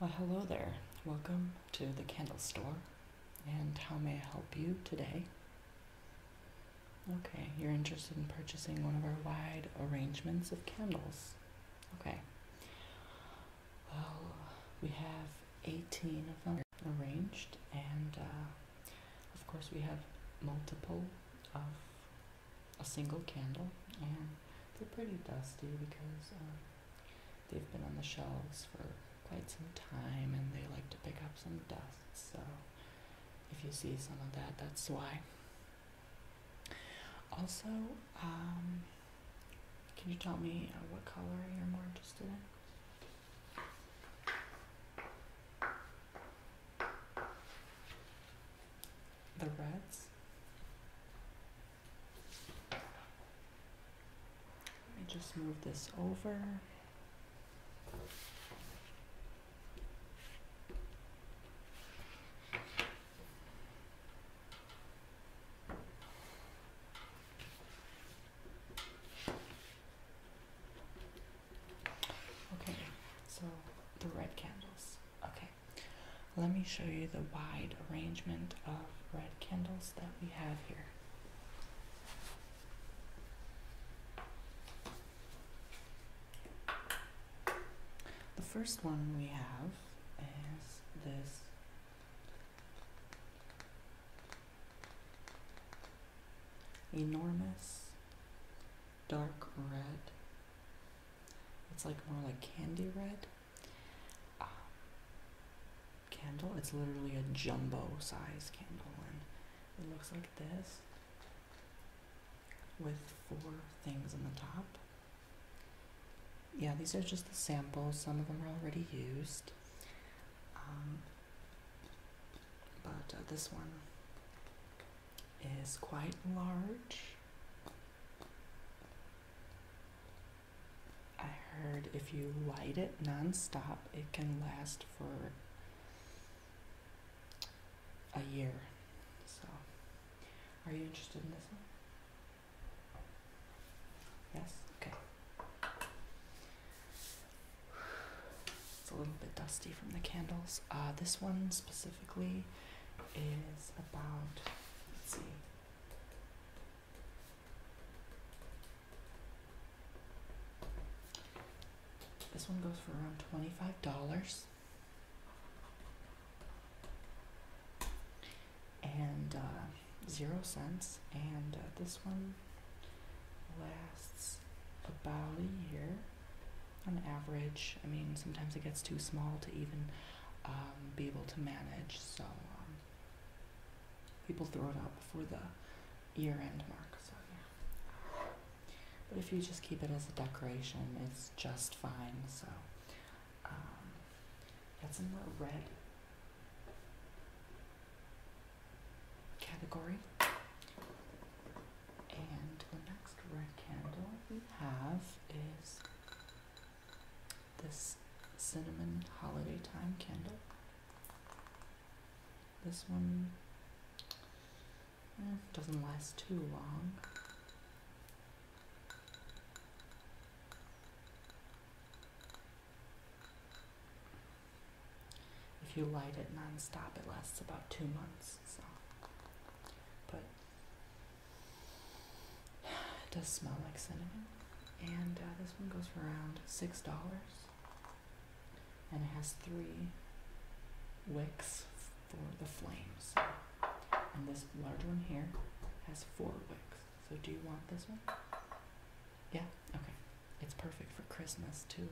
Well, hello there. Welcome to the candle store. And how may I help you today? Okay, you're interested in purchasing one of our wide arrangements of candles. Okay. Well, we have 18 of them arranged, and uh, of course, we have multiple of a single candle, and they're pretty dusty because um, they've been on the shelves for quite some time and they like to pick up some dust. So, if you see some of that, that's why. Also, um, can you tell me uh, what color you're more interested in? The reds. Let me just move this over. Okay, so the red candles. Okay, let me show you the wide arrangement of red candles that we have here. The first one we have is this Enormous, dark red. It's like more like candy red. Um, candle, it's literally a jumbo size candle, and it looks like this with four things on the top. Yeah, these are just the samples. Some of them are already used. Um, but uh, this one is quite large. I heard if you light it nonstop, it can last for a year. So, are you interested in this one? Yes? Okay. It's a little bit dusty from the candles. Uh, this one specifically is about, let's see. This one goes for around $25. and uh, zero cents, And uh, this one lasts about a year on average. I mean, sometimes it gets too small to even um, be able to manage, so um, people throw it out before the year end mark. So, yeah. But if you just keep it as a decoration, it's just fine. So, um, got some more red category. And the next red candle we have is this cinnamon holiday time candle. This one eh, doesn't last too long. If you light it nonstop, it lasts about two months. So, but it does smell like cinnamon, and uh, this one goes for around six dollars, and it has three wicks for the flames. And this large one here has four wicks. So, do you want this one? Yeah. Okay. It's perfect for Christmas too.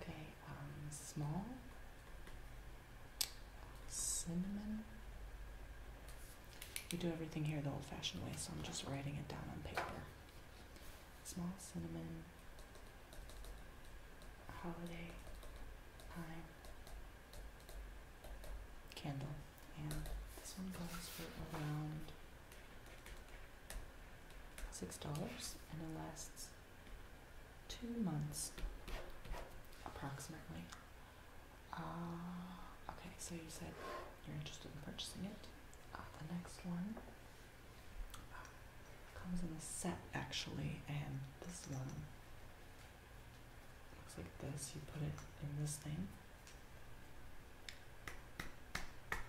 Okay. Um, small cinnamon. We do everything here the old-fashioned way, so I'm just writing it down on paper. Small cinnamon. Holiday pine candle, and this one goes for around six dollars and it lasts two months approximately. Uh, okay, so you said you're interested in purchasing it. Uh, the next one uh, comes in a set actually, and this one looks like this. You put it in this thing,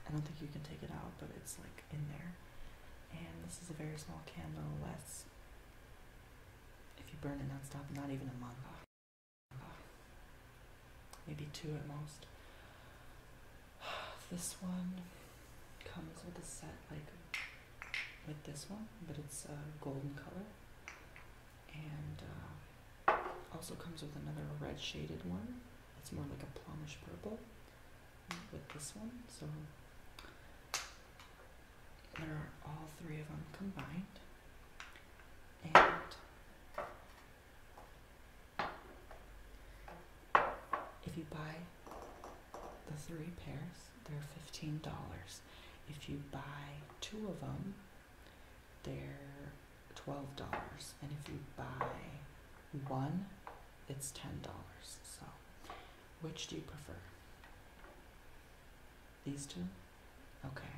I don't think you can take it out, but it's like in there. And this is a very small candle, less if you burn it non-stop, not even a month. Maybe two at most. This one comes with a set like with this one, but it's a golden color. And uh, also comes with another red shaded one it's more like a plumish purple with this one. So there are all three of them combined. And if you buy the three pairs, they're $15. If you buy two of them, they're twelve dollars, and if you buy one, it's ten dollars. So, which do you prefer? These two? Okay.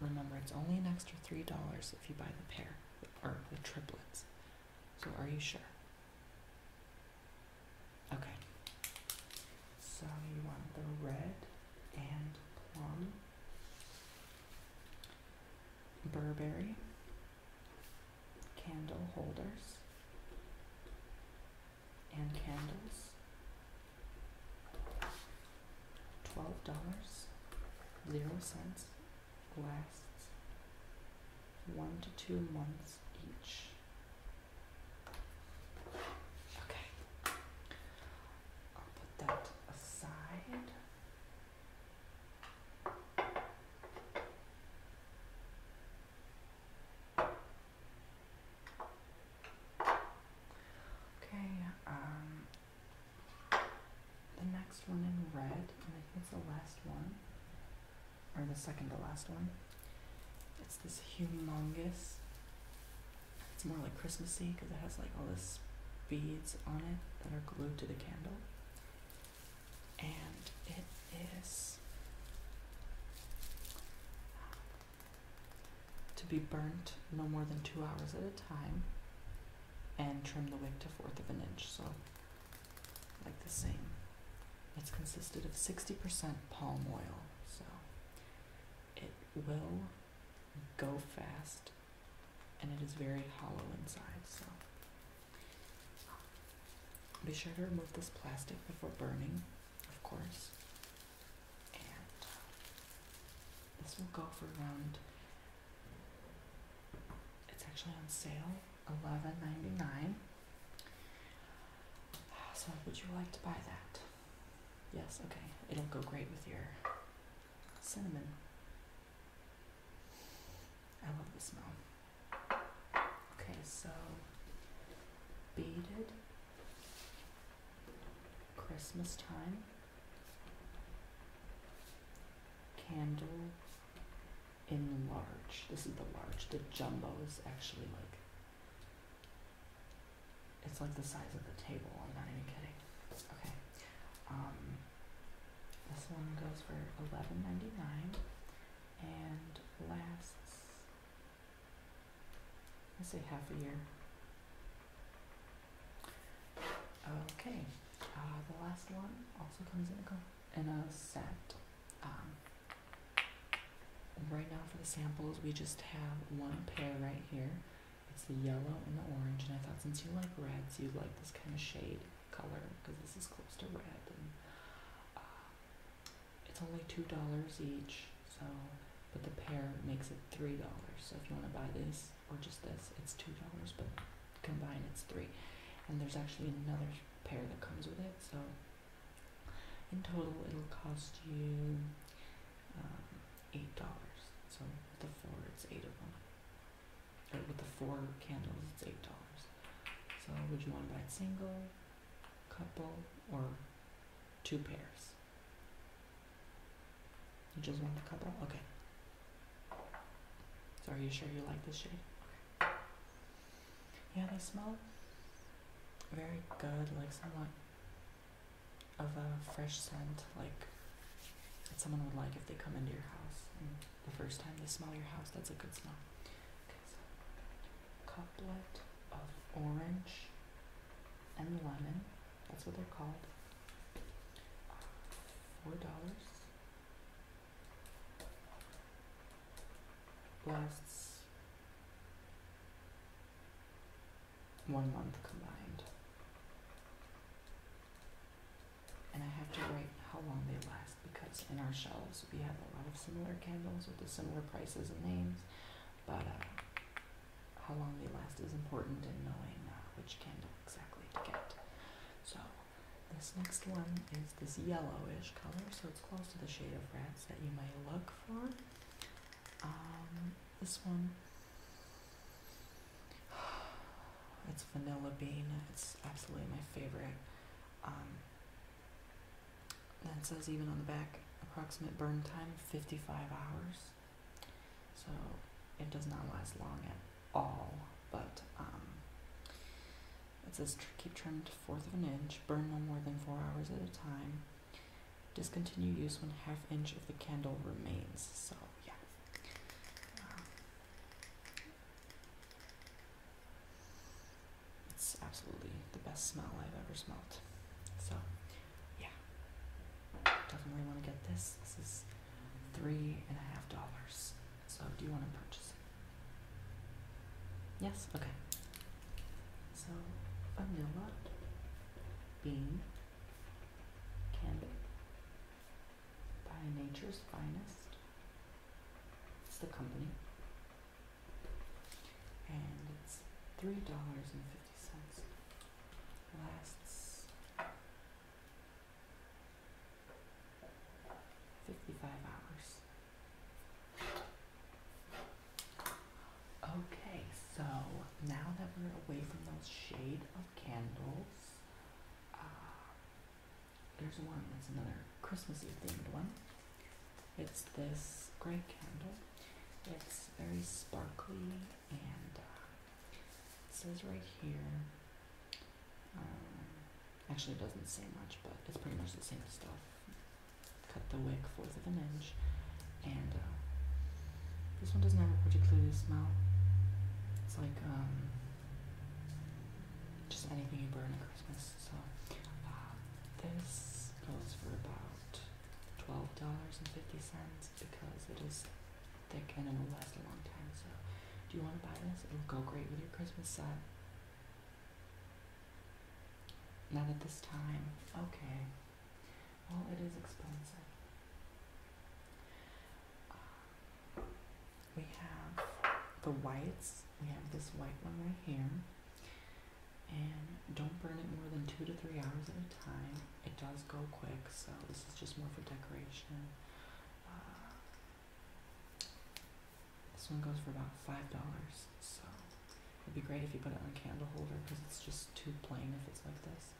Remember, it's only an extra three dollars if you buy the pair or the triplets. So, are you sure? Okay. So, you want the red and plum. Burberry candle holders and candles. Twelve dollars, zero cents, lasts one to two months each. Okay. I'll put that aside. Okay, um, the next one in red, and I think it's the last one, or the second to last one, it's this humongous it's more like Christmassy because it has like all the beads on it that are glued to the candle. And it is um, to be burnt no more than two hours at a time and trim the wick to fourth of an inch. So like the same. It's consisted of 60% palm oil. So it will go fast, and it is very hollow inside. So be sure to remove this plastic before burning, of course. And uh, this will go for around. It's actually on sale, eleven ninety nine. So would you like to buy that? Yes, okay. It'll go great with your cinnamon. I love the smell. Okay, so beaded Christmas time candle in large. This is the large. The jumbo is actually like it's like the size of the table. I'm not even kidding. Okay. Um, this one goes for eleven ninety nine, and lasts. I say half a year. Okay. Uh, the last one also comes in a in a set. Um, right now for the samples, we just have one pair right here. It's the yellow and the orange, and I thought since you like reds, you'd like this kind of shade color because this is close to red. And uh, it's only two dollars each, so but the pair makes it three dollars. So if you want to buy this or just this, it's two dollars, but combined it's three. And there's actually another pair that comes with it, so in total it'll cost you. Um, eight dollars. So with the four, it's eight of them. Or with the four candles, it's eight dollars. So would you want to buy single, couple, or two pairs? You just want the couple? Okay. So are you sure you like this shade? Yeah, they smell very good, like some of a fresh scent, like that someone would like if they come into your house. And the first time they smell your house, that's a good smell. Okay, so couplet of orange and lemon. That's what they're called. Four dollars. Lasts one month combined. And I have to write how long they last because in our shelves we have a lot of similar candles with the similar prices and names, but uh, how long they last is important in knowing uh, which candle exactly to get. So this next one is this yellowish color, so it's close to the shade of rats that you might look for. Um, this one. It's vanilla bean. It's absolutely my favorite. Um, says even on the back, approximate burn time 55 hours. So it does not last long at all, but um, it says keep trimmed fourth of an inch, burn no more than four hours at a time. Discontinue use when half inch of the candle remains. So yeah. it's absolutely the best smell I've ever smelled. So yeah. Definitely want to get this. This is three and a half dollars. So do you want to purchase it? Yes? Okay. So vanilla bean candy by nature's finest. It's the company. And it's three dollars and fifty cents. Lasts fifty-five hours. Okay, so now that we're away from those shade of candles, uh, there's one that's another Christmassy themed one. It's this gray candle. It's very sparkly and uh, it says right here. Um, actually, it doesn't say much, but it's pretty much the same stuff cut the wick fourth of an inch, and uh, this one doesn't have a particularly smell. It's like um, just anything you burn at Christmas. So uh, this goes for about twelve dollars and fifty cents because it is thick and it'll last a long time. So do you want to buy this? It'll go great with your Christmas set. Not at this time. Okay. Well, it is expensive. we have the whites. We have this white one right here. And don't burn it more than two to three hours at a time. It does go quick, so this is just more for decoration. Uh, this one goes for about five dollars, so It'd be great if you put it on a candle holder because it's just too plain if it's like this.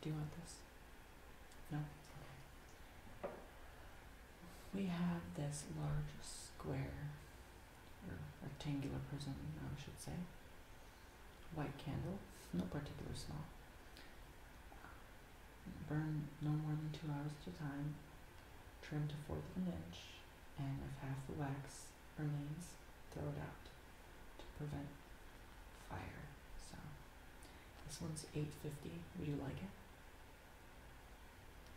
Do you want this? No? We have this large square, or rectangular prism, I should say. White candle, no particular smell. Burn no more than two hours at a time. Trim to fourth of an inch, and if half the wax remains, throw it out to prevent fire. So this one's 850. Would you like it?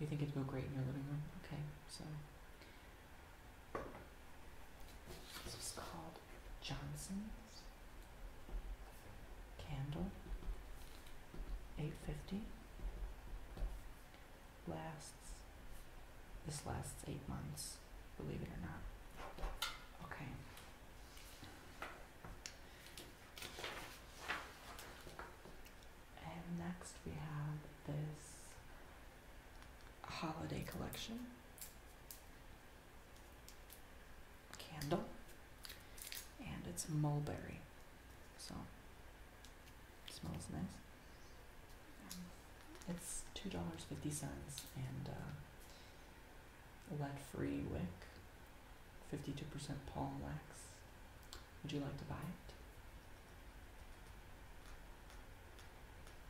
You think it'd go great in your living room? Okay, so this is called Johnson's candle. 850 lasts, this lasts eight months, believe it or not. Okay. And next we have this holiday collection candle and it's mulberry so smells nice it's two dollars fifty cents and uh, lead-free wick, fifty-two percent palm wax. Would you like to buy it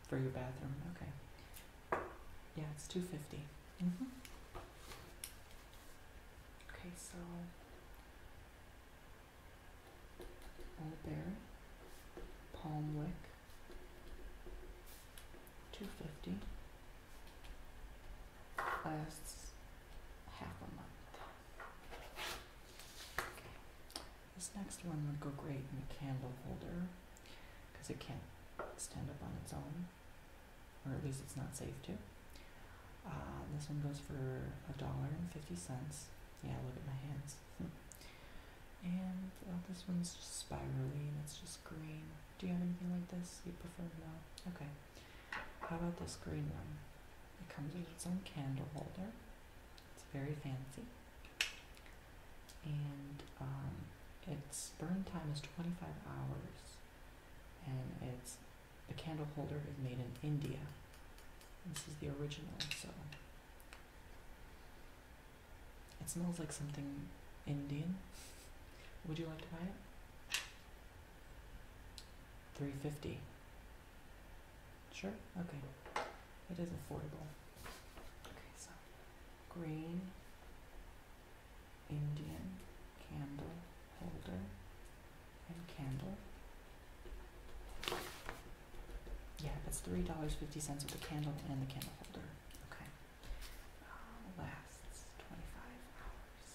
for your bathroom? Okay. Yeah, it's two fifty. Mm -hmm. Okay, so Old Bear, Palm Wick, 250 lasts half a month. Okay. This next one would go great in a candle holder because it can't stand up on its own, or at least it's not safe to. Uh, this one goes for a dollar and fifty cents. Yeah, look at my hands. And this one's just spirally and it's just green. Do you have anything like this? You prefer no? Okay. How about this green one? It comes with its own candle holder. It's very fancy. And um, its burn time is 25 hours. And it's the candle holder is made in India. This is the original, so it smells like something Indian. Would you like to buy it? Three fifty. Sure. Okay. It is affordable. Okay, so green Indian candle holder and candle. Yeah, that's three dollars fifty cents with the candle and the candle holder. Okay. Uh, twenty-five hours.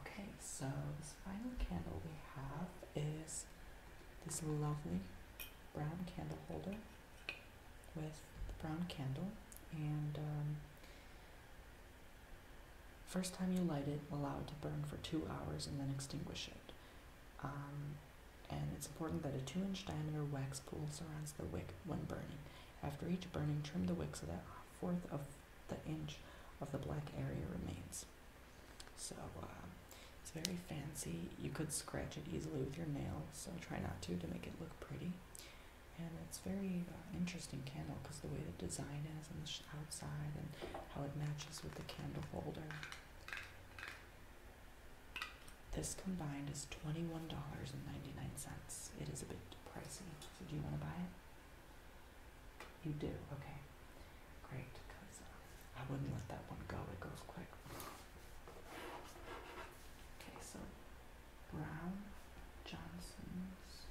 Okay, so this final candle we have is this lovely brown candle holder with the brown candle and um, first time you light it allow it to burn for two hours and then extinguish it um, and it's important that a 2 inch diameter wax pool surrounds the wick when burning. After each burning, trim the wick so that a fourth of the inch of the black area remains. So um, it's very fancy. You could scratch it easily with your nail, so try not to to make it look pretty. And it's very uh, interesting candle because the way the design is on the outside and how it matches with the candle holder. This combined is $21.99. It is a bit pricey. So do you want to buy it? You do? Okay. Great, because uh, I wouldn't let that one go. It goes quick. Okay, so Brown Johnson's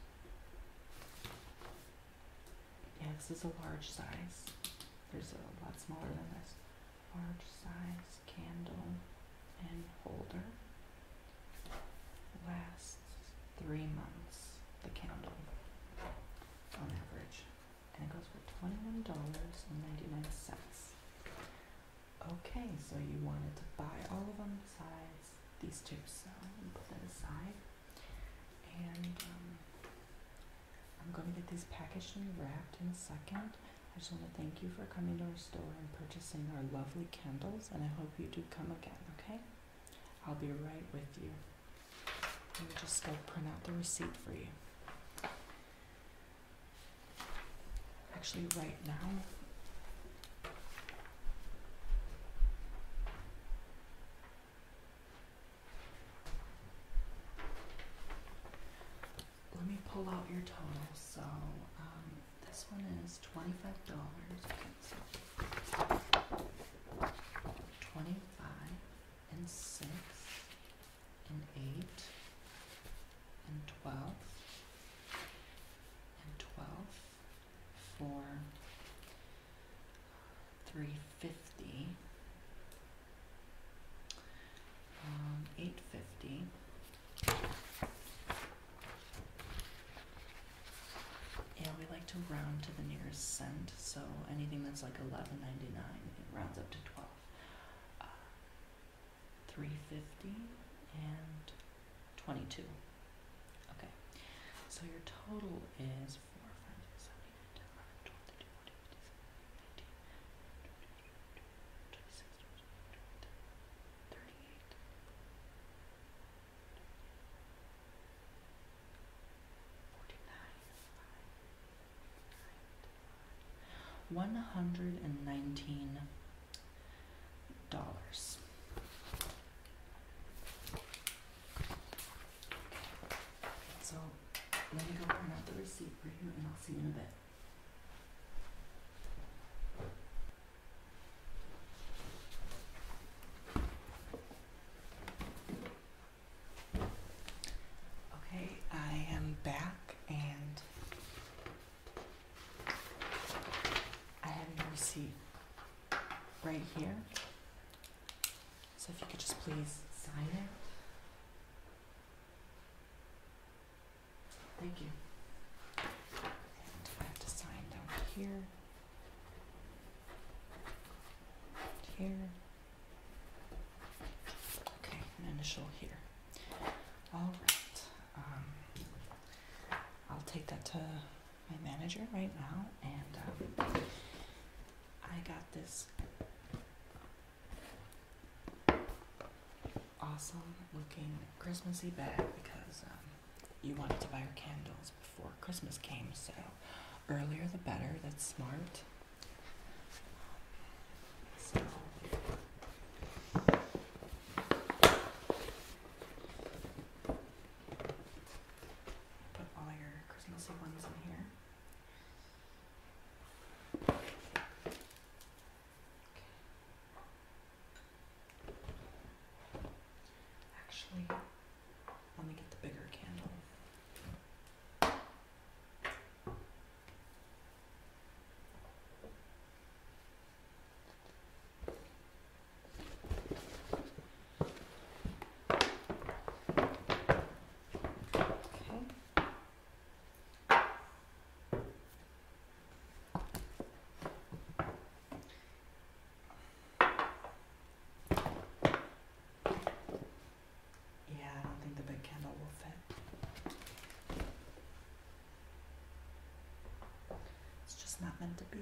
yeah, this is a large size. There's a lot smaller than this. Large size candle and holder. Lasts three months, the candle on average. And it goes for $21.99. Okay, so you wanted to buy all of them besides these two, so I'm put that aside. And um, I'm going to get these packaged and wrapped in a second. I just want to thank you for coming to our store and purchasing our lovely candles, and I hope you do come again, okay? I'll be right with you. Let me just go print out the receipt for you. Actually, right now, let me pull out your total. So um, this one is twenty-five dollars. twenty-five and six and eight and twelve and twelve Four, three three fifty, um, eight fifty. Yeah, we like to round to the nearest cent, so anything that's like eleven ninety nine, it rounds up to twelve. Uh, three fifty and twenty two. Okay, so your total is four friends seventy nine, ten, eleven, twelve, thirteen, fourteen, fifteen, sixteen, nineteen, twenty-six, thirty-eight. One hundred and nineteen dollars. So let me go print out the receipt for you and I'll see you in a bit. Okay, I am back and I have your receipt right here. So if you could just please sign it. Thank you. I have to sign down here. Here. Okay, initial here. All right. Um, I'll take that to my manager right now, and um, I got this awesome looking Christmassy bag because um, you wanted to buy your candles before Christmas came, so earlier the better. That's smart. So. Put all your Christmassy ones in here. Actually, let me get the bigger candle. Yeah, I don't think the big candle will fit. It's just not meant to be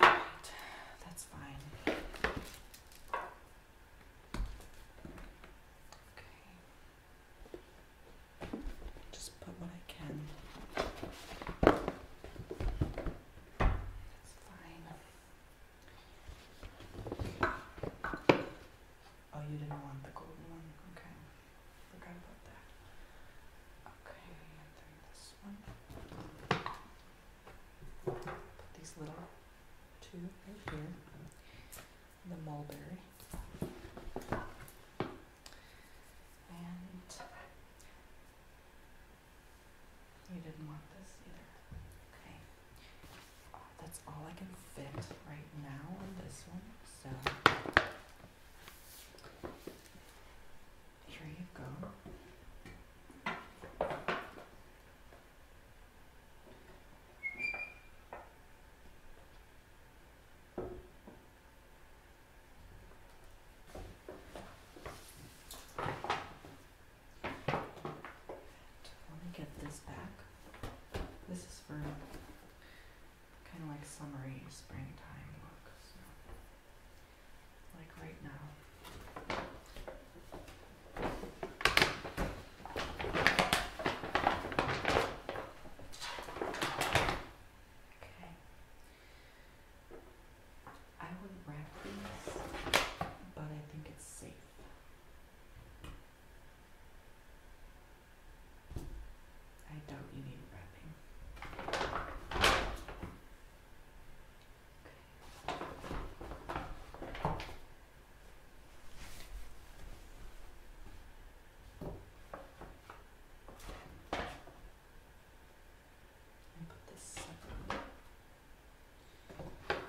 that's fine. Okay. Just put what I can. That's fine. Oh, you didn't want the golden one. Okay. Forgot about that. Okay, and then this one. Put these little two right here. The mulberry. And you didn't want this either. Okay. that's all I can fit right now on this one. So here you go. Let me get this back. This is for kind of like summery springtime look. So, like right now. Okay. I would wrap these, but I think it's safe. I doubt you need wrapping. And put this Okay.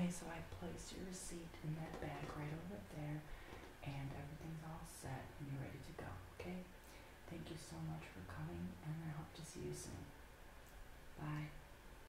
Okay, so I placed your receipt in that bag right over there, and everything's all set and you're ready to go, okay? Thank you so much for coming, and I hope to see you soon. Bye.